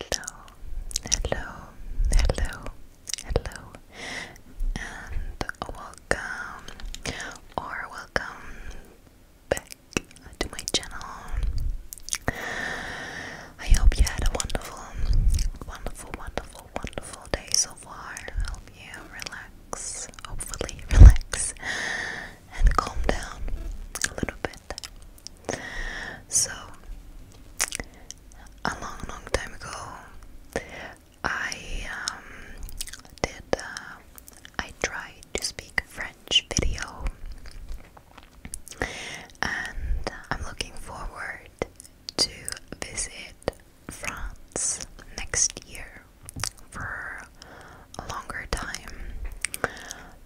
Hello, hello, hello, hello, and welcome or welcome back to my channel. I hope you had a wonderful, wonderful, wonderful, wonderful day so far. I hope you relax, hopefully, relax and calm down a little bit. So, a long, long time ago, I um, did. Uh, I tried to speak French video, and I'm looking forward to visit France next year for a longer time.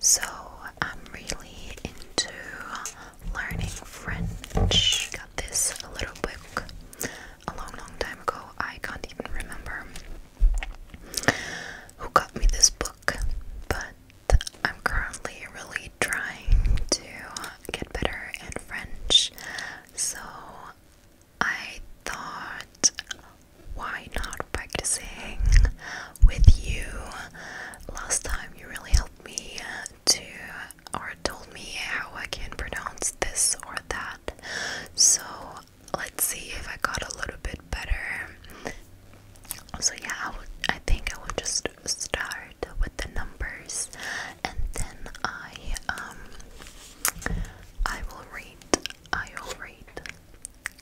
So I'm really into learning French. Got this little book a long, long time ago. I can't even remember who got me this book, but I'm currently really trying to get better in French. So I thought why not practicing with you? Last time you really helped me to or told me how I can pronounce this or that. So let's see if I got a little bit better. So yeah, I, would, I think I will just start with the numbers, and then I um I will read. I will read.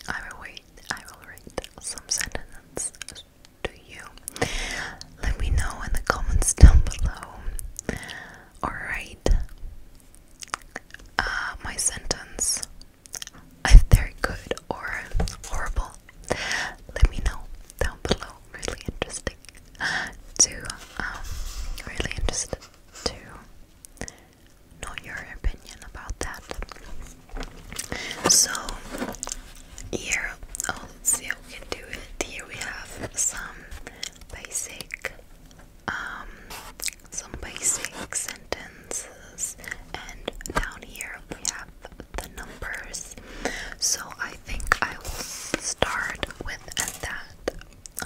I will read. I will write some sentences to you. Let me know in the comments down below. Alright. Uh, my sentence if they're good or horrible. Let me know down below. Really interesting to um really interested to know your opinion about that. So here, oh, see how we can do it. Here we have some basic, um, some basic sentences, and down here we have the numbers. So I think I will start with that.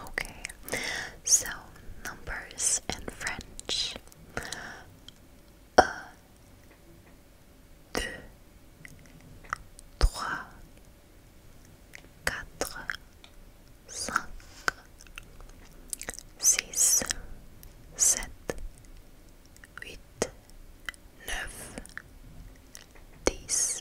Okay, so numbers in French 1, 2, 3, 4, 5, 6, 7, 8, 9, 10.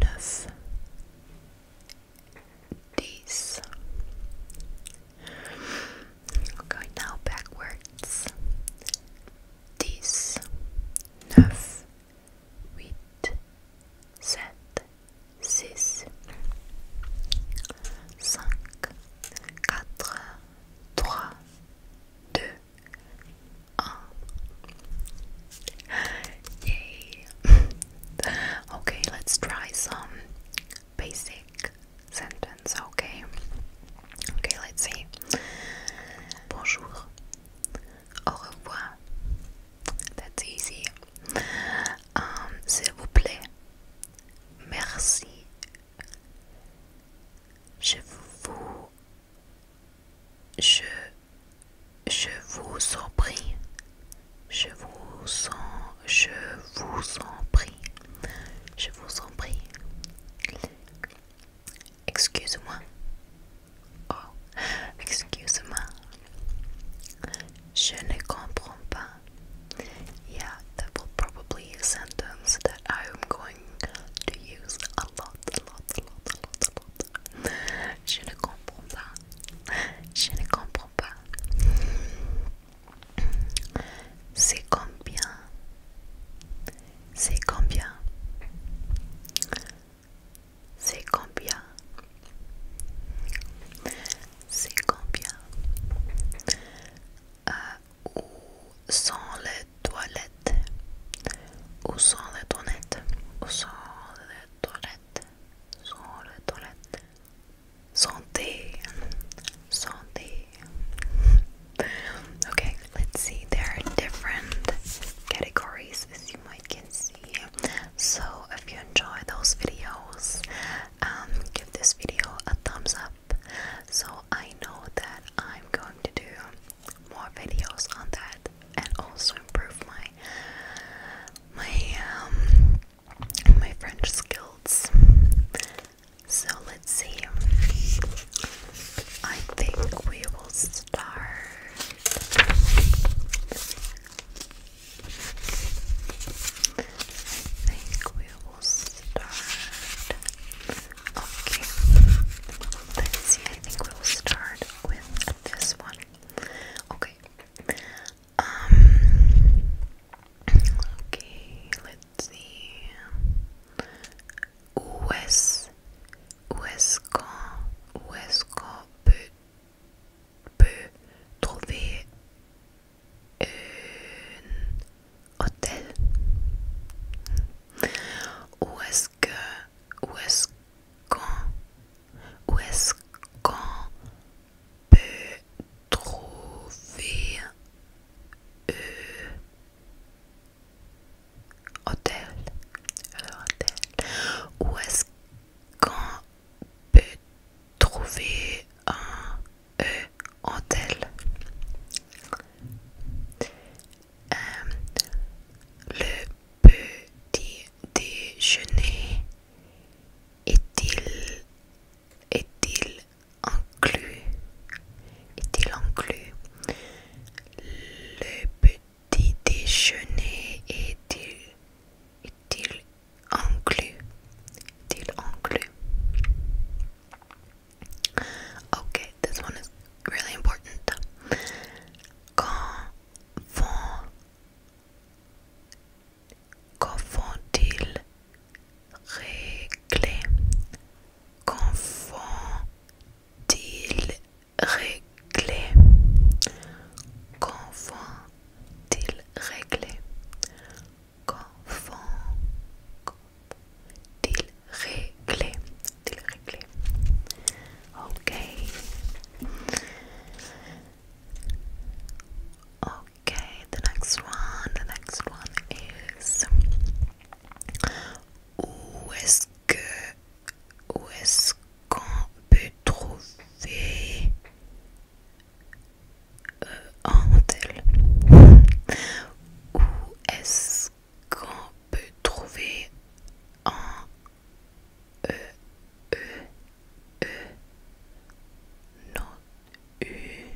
neuf, dix. going now backwards. Dix, neuf, huit, sept, yay. okay, let's try some basic sentence, okay? Okay, let's see. Bonjour. Au revoir. That's easy. Um, s'il vous plaît. Merci. Je vous Je, je vous en prie, je vous en, je vous en prie, je vous en prie. Excuse-moi. Oh, excuse-moi. Je ne comprends pas. Yeah, that will probably a sentence that I am going to use a lot, a lot, a lot, a lot, a lot, je ne comprends pas. Je ne comprends pas. C'est combien C'est combien C'est combien C'est combien combien euh, Où les toilette Où toilettes Où toilettes Sont toilettes Santé Santé Okay, let's see. There are different categories as you might can see. So if you enjoy those videos, um, give this video a thumbs up. So I know that I'm going to do more videos on that and also improve my my um my French skills. So let's see. I think we will start. I think we will start Okay. Let's see, I think we'll start with this one. Okay. Um Okay, let's see. Où est-ce est qu'on est qu peut, peut trouver une hôtel Où est-ce que où est-ce qu'on est qu'on peut trouver un hôtel hôtel Où est-ce qu'on peut trouver un Hôtel. Euh, le petit déjeuner est-il est-il inclus est-il inclus le petit déjeuner est-il est-il inclus est-il inclus Okay, this one is really important. Confond, confond-il régler? Confond-il confond-il réglé ok ok the next one the next one is où est-ce que où est-ce qu'on peut trouver euh, un hôtel Où est-ce qu'on peut trouver un E, E, E, U, e,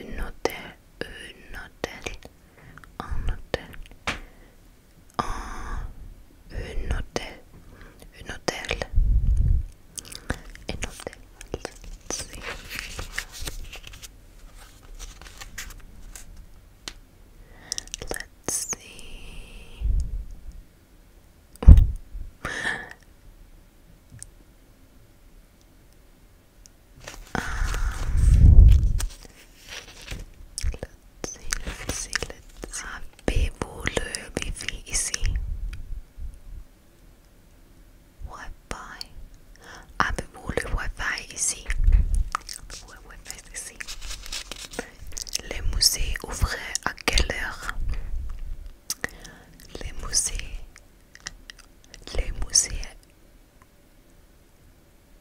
un hôtel, un hôtel, un hôtel, un, un hôtel, un hôtel, un hôtel. Let's see. Let's see. um, let's see, let's see, let's see. Wi-Fi. Avez-vous le Wi-Fi ici? Le Wi-Fi ici. Les musées ouvrent à quelle heure? Les musées. Les musées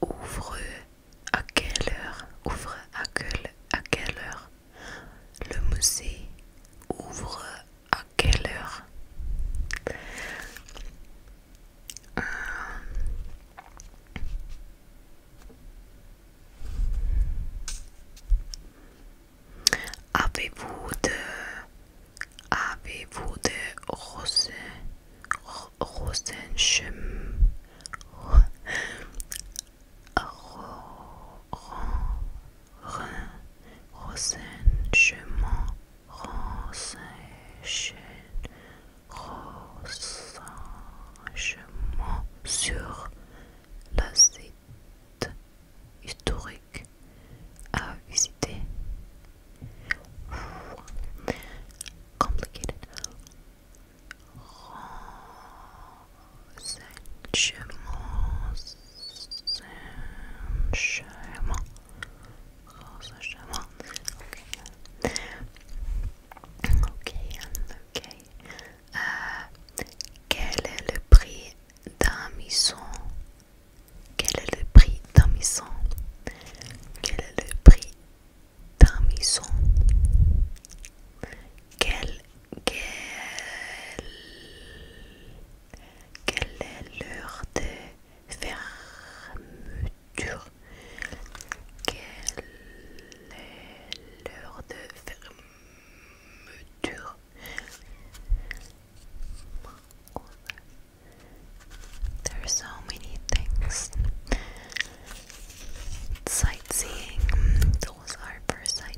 ouvrent à quelle heure? Ouvre à quelle, à quelle heure? Le musée ouvre à quelle heure euh. Avez-vous de avez-vous de rose Rhin, Rosen, Chemin, Ransin, Chêne, Chemin, sur la site historique à visiter. Complicated. Okay. Okay, ok. ok. quel est le prix d'un misson? Quel est le prix d'un misson? Quel est le prix d'un misson? Quel There are so many things. Sightseeing, those are for sightseeing.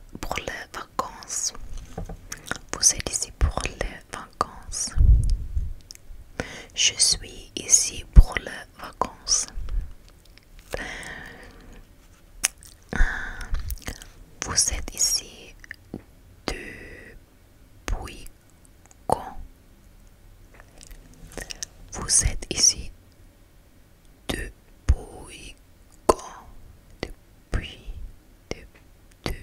pour les vacances. Vous êtes ici pour les vacances. Je suis ici pour les vacances. Euh, vous êtes ici depuis quand? Vous êtes ici depuis quand? Depuis depuis,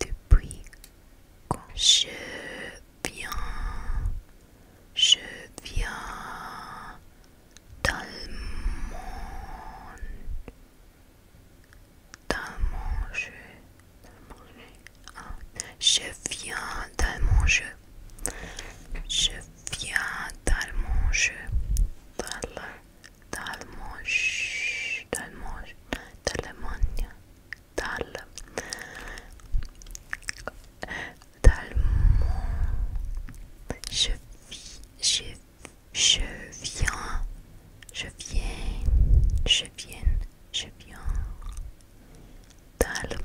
depuis quand je viens, je viens d'Allemagne, mon je viens jeu, je viens je d'Allemagne, d'Allemagne, Dal, d'Allemagne. Je, je, je viens, je viens, je viens, je viens d'Allemagne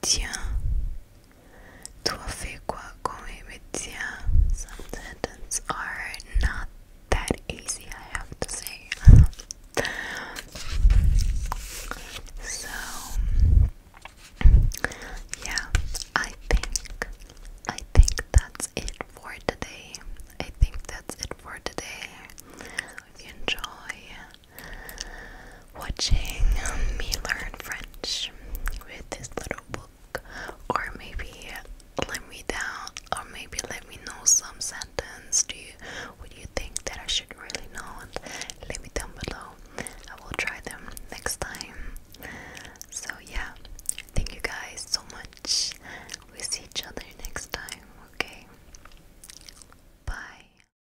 tiens. Toi fais quoi comme tiens. Some sentences are not that easy, I have to say. so, yeah, I think I think that's it for today. I think that's it for today. enjoy watching um, me learn French with this little book, or maybe let me down, or maybe let me know some sentence. Do you, what you think that I should really know? And let me down below. I will try them next time. So yeah, thank you guys so much. We see each other next time. Okay, bye.